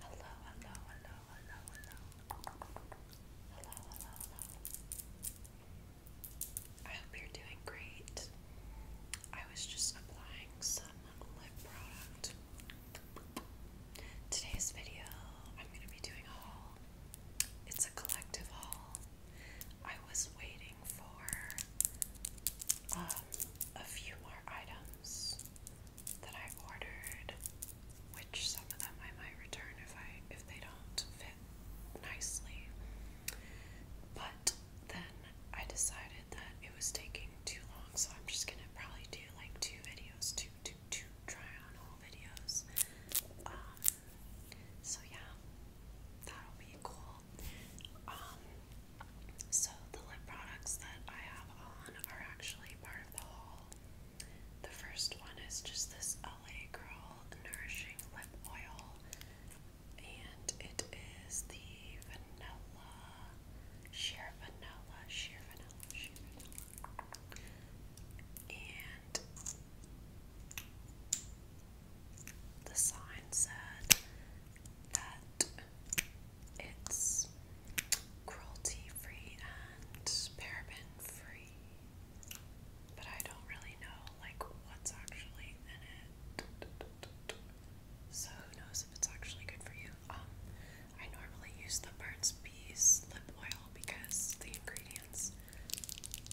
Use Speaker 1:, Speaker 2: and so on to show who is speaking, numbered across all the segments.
Speaker 1: Hello, hello, hello, hello, hello. Hello, hello, hello. I hope you're doing great. I was just applying some lip product Today's video, I'm going to be doing a haul. It's a collective haul. I was waiting for um, a few more items that I ordered, which some of them I might return if I if they don't fit nicely. But then I decided that it was taking too long so I'm just gonna probably do like two videos, two, two, two try on haul videos. Um, so yeah, that'll be cool. Um, so the lip products that I have on are actually part of the haul. The first one is just this LA Girl Nourishing Lip Oil, and it is the vanilla, sheer vanilla, sheer vanilla, and the sign said that it's cruelty free and paraben free. But I don't really know like what's actually in it. So who knows if it's actually good for you? Um, I normally use the Burt's Bees lip oil because the ingredients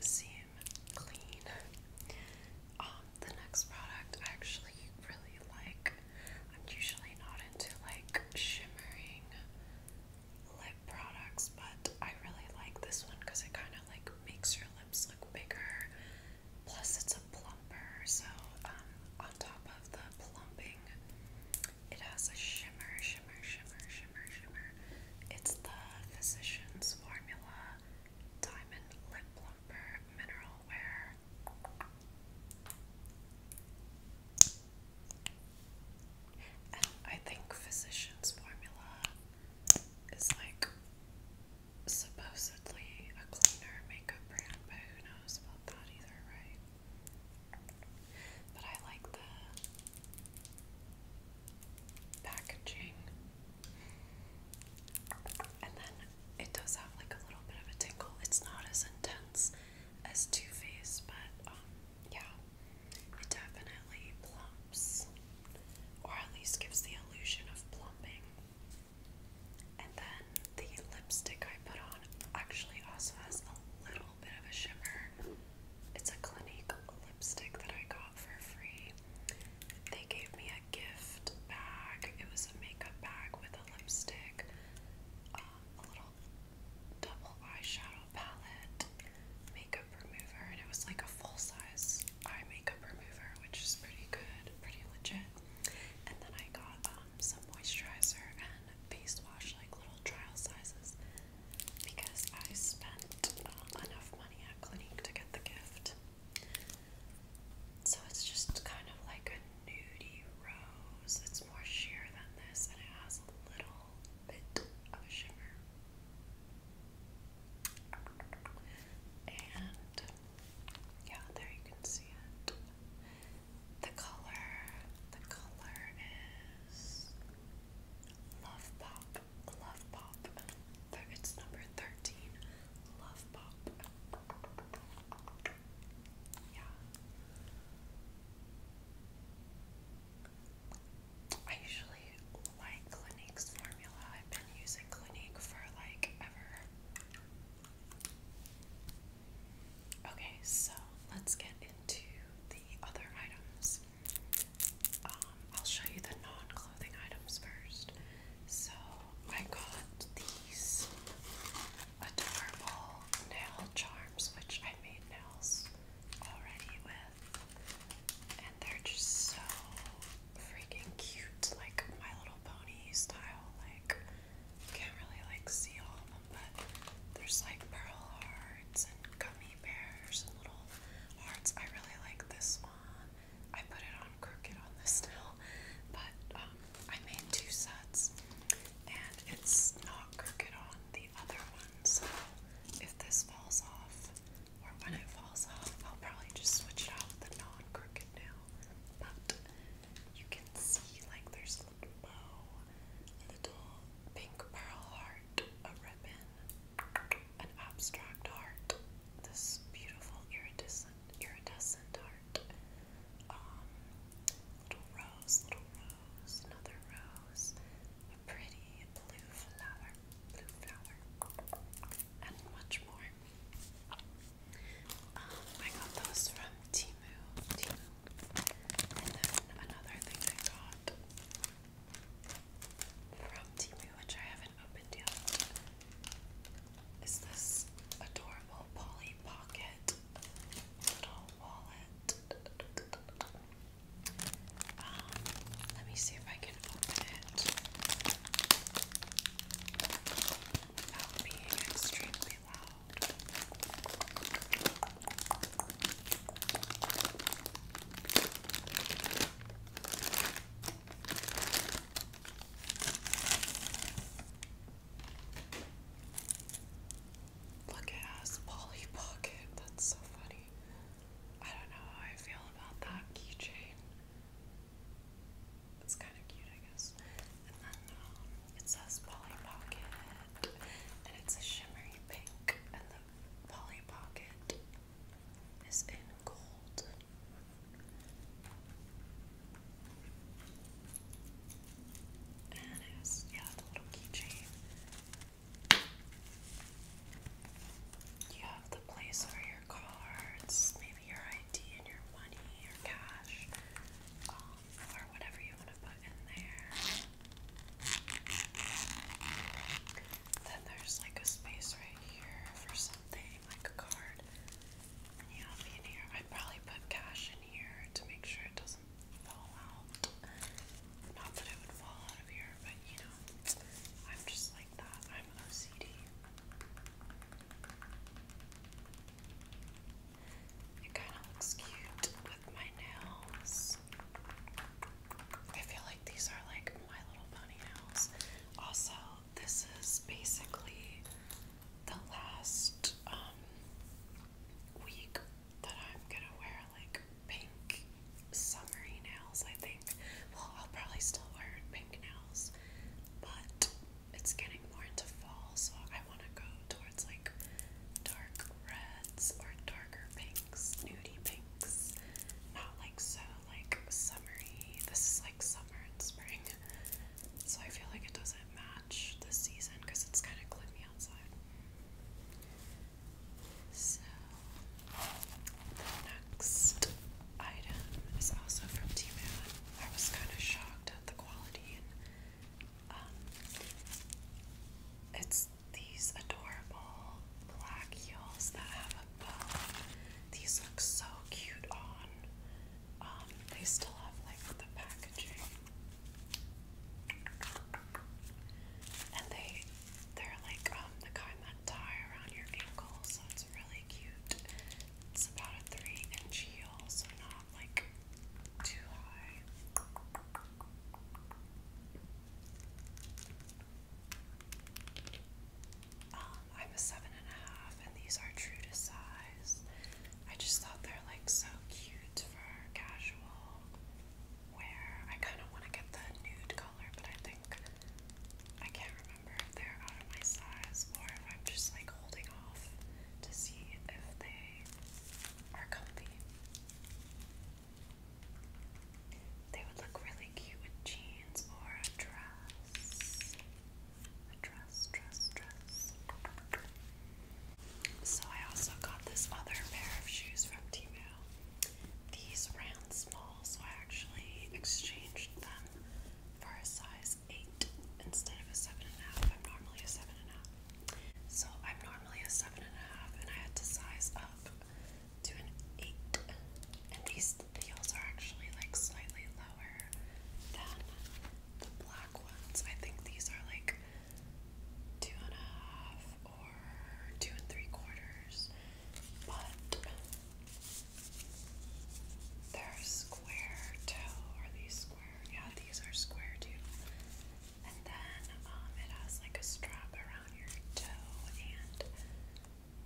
Speaker 1: seem clean. Um, the next product I actually really like. I'm usually not into like shimmering lip products, but I really like this one because it kind of like makes your lips look bigger. Plus, it's a plumper, so um, on top of the plumping, it has a shimmer, shimmer, shimmer, shimmer, shimmer. It's the Physicians Formula Diamond Lip Plumper Mineral Wear. And I think Physicians Formula is like supposedly a cleaner makeup brand, but who knows about that either, right? But I like the packaging. And then it does have like a little bit of a tingle. It's not as intense as Too Faced, but um, yeah, it definitely plumps, or at least gives the illusion of plumping. And then the lipstick I put on actually also has a little bit of a shimmer. It's a Clinique lipstick that I got for free. They gave me a gift bag. It was a makeup bag with a lipstick, um, a little double eyeshadow palette, makeup remover, and it was like a full size eye makeup remover, which is pretty good, pretty legit. And then I got um, some moisturizer and face wash, like little trial sizes, because I spent um, enough money at Clinique to get the gift. So it's just kind of like a nudey rose. It's more sheer than this, and it has a little bit of a shimmer. And yeah, there you can see it. The color, the color is Love Pop, Love Pop. It's number 13, Love Pop. Yeah. I usually like Clinique's formula I've been using Clinique for like ever. Okay, so let's get into the other items. Um, I'll show you the non-clothing items first. So I got these adorable nail charms, which I made nails already with, and they're just so freaking cute, like My Little Pony style. Like, you can't really like see all of them, but there's like pearl hearts and gummy bears and little hearts. I really like this one. I put it on crooked on this now, but um, I made two sets, and it's not crooked on the other one. So if this falls off, or when it falls off, I'll probably just switch it out with the non-crooked nail. But you can see like there's little bow, a little pink pearl heart, a ribbon, an abstract heart, this beautiful iridescent iridescent heart, um, little rose, little rose, another rose, a pretty blue flower, blue flower, and much more. Um, I got those from Timu, Timu. And then another thing I got from Timu, which I haven't opened yet, is this adorable Polly Pocket little wallet. Um, let me see if I can open it. Look, it has Polly Pocket. That's so funny. I don't know how I feel about that keychain. It's kind of cute, I guess. Um, it says Polly Pocket, and it's a shimmery pink, and the Polly Pocket is in gold. And it yeah, the little keychain. You have the place where your your cards, maybe your ID and your money, your cash, um, or whatever you want to put in there. Then there's like a space right here for something, like a card. And you have in here. I probably put cash in here to make sure it doesn't fall out. Not that it would fall out of here, but you I'm just like that. I'm OCD. It kind of looks cute with my nails. I feel like these are like my little pony nails. Also, this is basically the last um, week that I'm gonna wear like pink summery nails, I think. Well, I'll probably still wear pink nails, but it's getting more into fall, so I want to go towards like dark reds or darker pinks, nudie pinks. Not like so like summery. This is like summer and spring, so I feel like it doesn't match the season because it's kind of gloomy outside. So, the next item is also from T I was kind of shocked at the quality, um, it's these adorable black heels that have a bow. These look so cute on. Um, they still have like the packaging. And they they're like um, the kind that tie around your ankle, so it's really cute. It's about a three inch heel, so not like too high. Um, I'm a seven and a half, and these are true to size. I just thought they're like so cute for casual where I kind of want to get the nude color, but I think I can't remember if they're out of my size or if I'm just like holding off to see if they are comfy. They would look really cute with jeans or a dress. dress, dress, dress. So I also got this other pair of shoes from Tmall. These ran small, so I actually exchanged them for a size 8 instead of a 7.5. I'm normally a 7.5. So I'm normally a 7.5, and, I had to size up to an 8. And these heels are actually like slightly lower than the black ones. I think these are like two and a half or two and three quarters, but they're square too. Are these square? Yeah, these are square too. And then um, it has like a strap around your toe and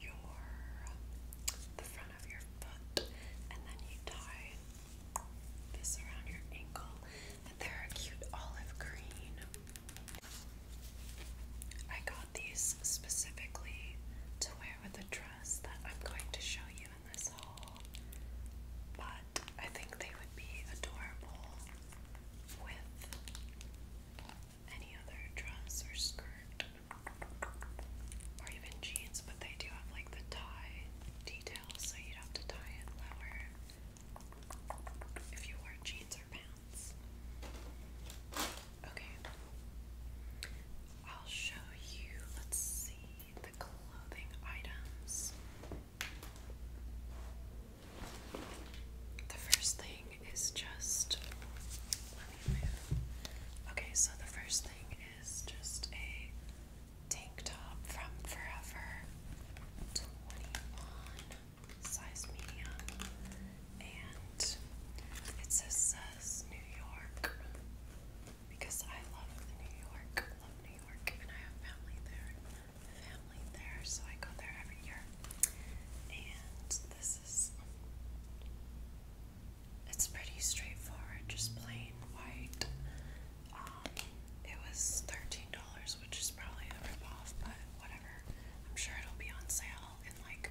Speaker 1: your the front of your foot, and then you tie this around your ankle, they're a cute olive green. I got these specifically to wear with the dress that I'm going to show you in this haul, but I think they would be adorable with any other dress or skirt or even jeans, but they do have like the tie details, so you'd have to tie it lower if you wear jeans or pants. Okay. I'll show you, let's see, the clothing items. The first thing is just. Okay, so the first thing is just a tank top from Forever 21 size medium, and it says New York because I love New York, love New York, and I have family there, family there, so I go there every year. And this is it's pretty straightforward, just plain white. Um, it was $13, which is probably a ripoff, but whatever. I'm sure it'll be on sale in like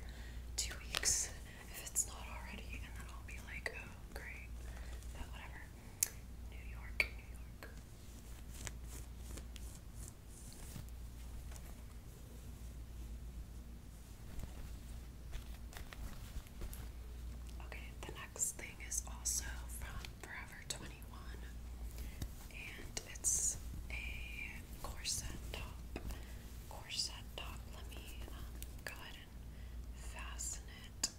Speaker 1: two weeks if it's not already, and then I'll be like, oh, great. But whatever. New York, New York. Okay, the next thing is also from Forever 21 and it's a corset top. Corset top. Let me um, go ahead and fasten it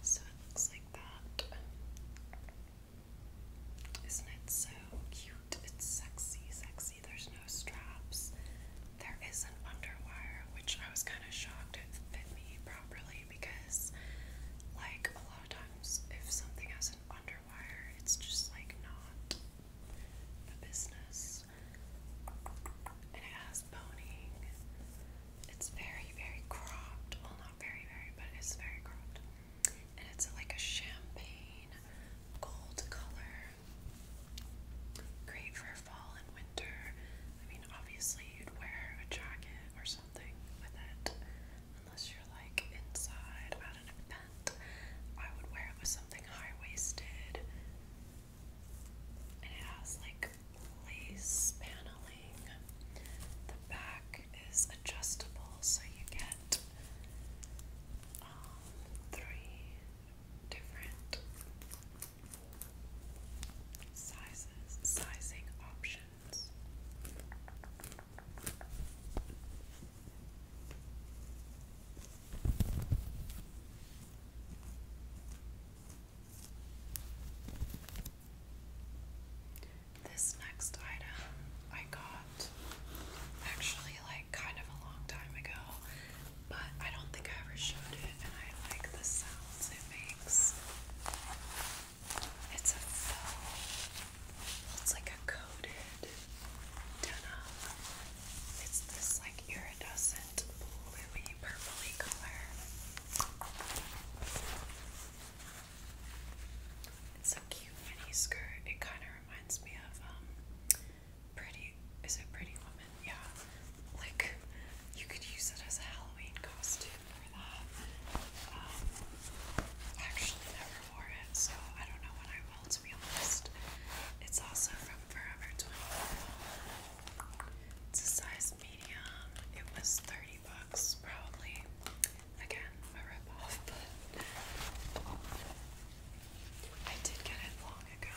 Speaker 1: so it looks like that. Isn't it so cute? It's sexy, sexy. There's no straps. There is an underwire, which I was kind of shocked it fit me properly me because, like, a lot of times if something has an underwire, it's just like not a business. And it has boning. It's very, very cropped. Well, not very, very, but it's very cropped. And it's like a champagne gold color. Great for fall and winter. I mean, obviously, you'd wear a jacket or with it, unless you're like inside at an event. I would wear it with something high waisted, and it has like lace paneling. The back is adjustable, so you get um, three different sizes, sizing options hands. This next item I got actually like kind of a long time ago, but I don't think I ever showed it and I like the sounds it makes. It's a faux, it's like a coated denim. It's this like iridescent bluey purpley color. It's a cute mini skirt. It kind of reminds me of um pretty is it pretty woman? Yeah. Like you could use it as a Halloween costume remember that. Um, actually never wore it, so I don't know when I will, to be honest. It's also from Forever 24. It's a size medium. It was 30 bucks, probably. Again, a ripoff, I did get it long ago.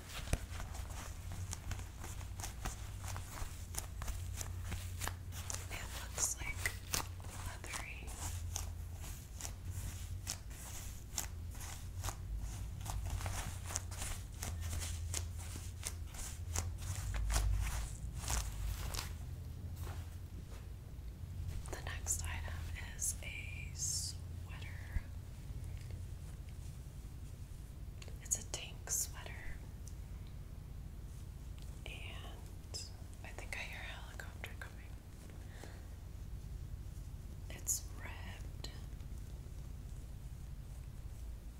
Speaker 1: It looks like leathery. The next item is a sweater. It's a tank sweater. And I think I hear a helicopter coming. It's red.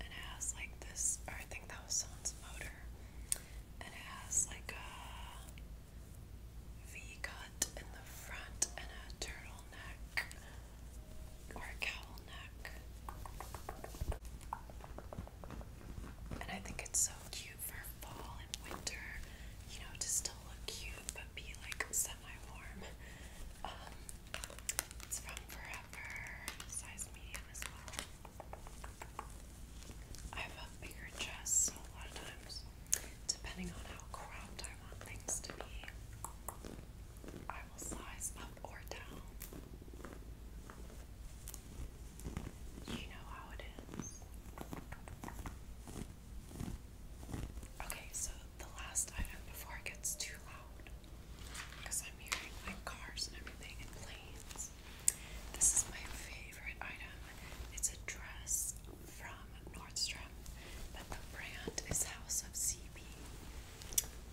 Speaker 1: And it has like this, I think that was someone's motor. And it has like a V cut in the front and a turtleneck or a cowl neck. And I think it's so cute for fall and winter, you know, to still look cute but be like semi warm. Um, it's from Forever, size medium as well. I have a bigger chest a lot of times, depending on how cropped I want things to be. I you know how it is. Okay, so the last item before it gets too loud, because I'm hearing like cars and everything and planes. This is my favorite item. It's a dress from Nordstrom, but the brand is House of CB.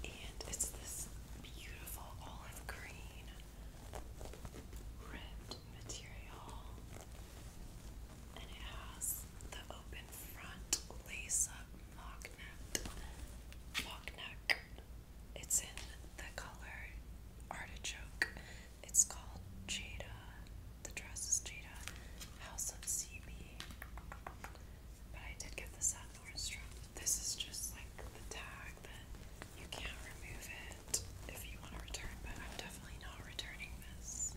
Speaker 1: And it's this beautiful olive green ribbed material. And it has the open front lace up mock neck. Mock neck. It's in the color artichoke. It's called Jada. The dress is Jada. House of CB. But I did get this at Nordstrom. This is just like the tag that you can't remove it if you want to return, but I'm definitely not returning this.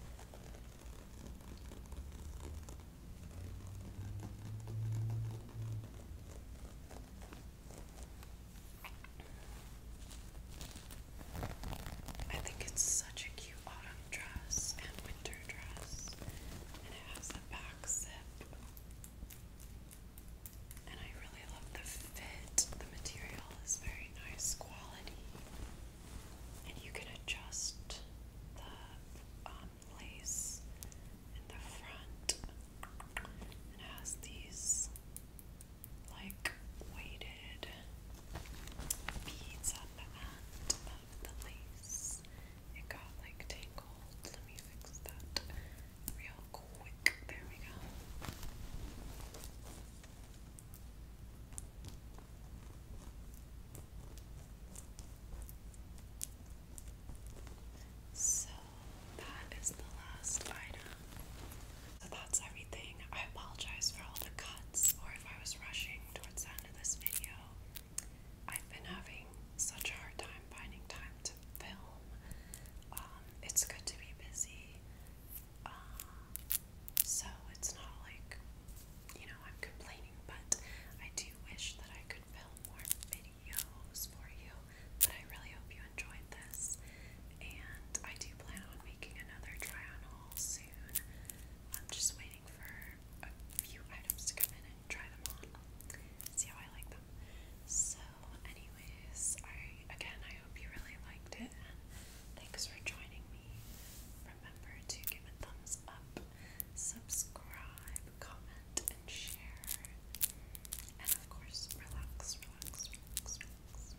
Speaker 1: I think it's such a cute cute dress and winter dress, and it has a back zip. And I really love the fit. The material is very nice quality, and you can adjust the um, lace in the front. And it has these like weighted beads at the the lace. It got like tangled. Let me fix that real quick. There we go. So that is the last item. So that's everything. I apologize for all the cuts or if I was rushing towards the end to this video. I've been having such a hard time finding time to film. Um, it's good to be busy, uh, so it's not like you know I'm complaining, but I do wish that I could film more videos for you. But I really hope you enjoyed this, and I do plan on making another try on haul soon. I'm just waiting for a few items to come in and try them on, see how I like them. So, anyways, I again I hope you really liked it, and thanks for joining me. Remember to give a thumbs up, subscribe, comment, and share. And of course, relax, relax, relax, relax.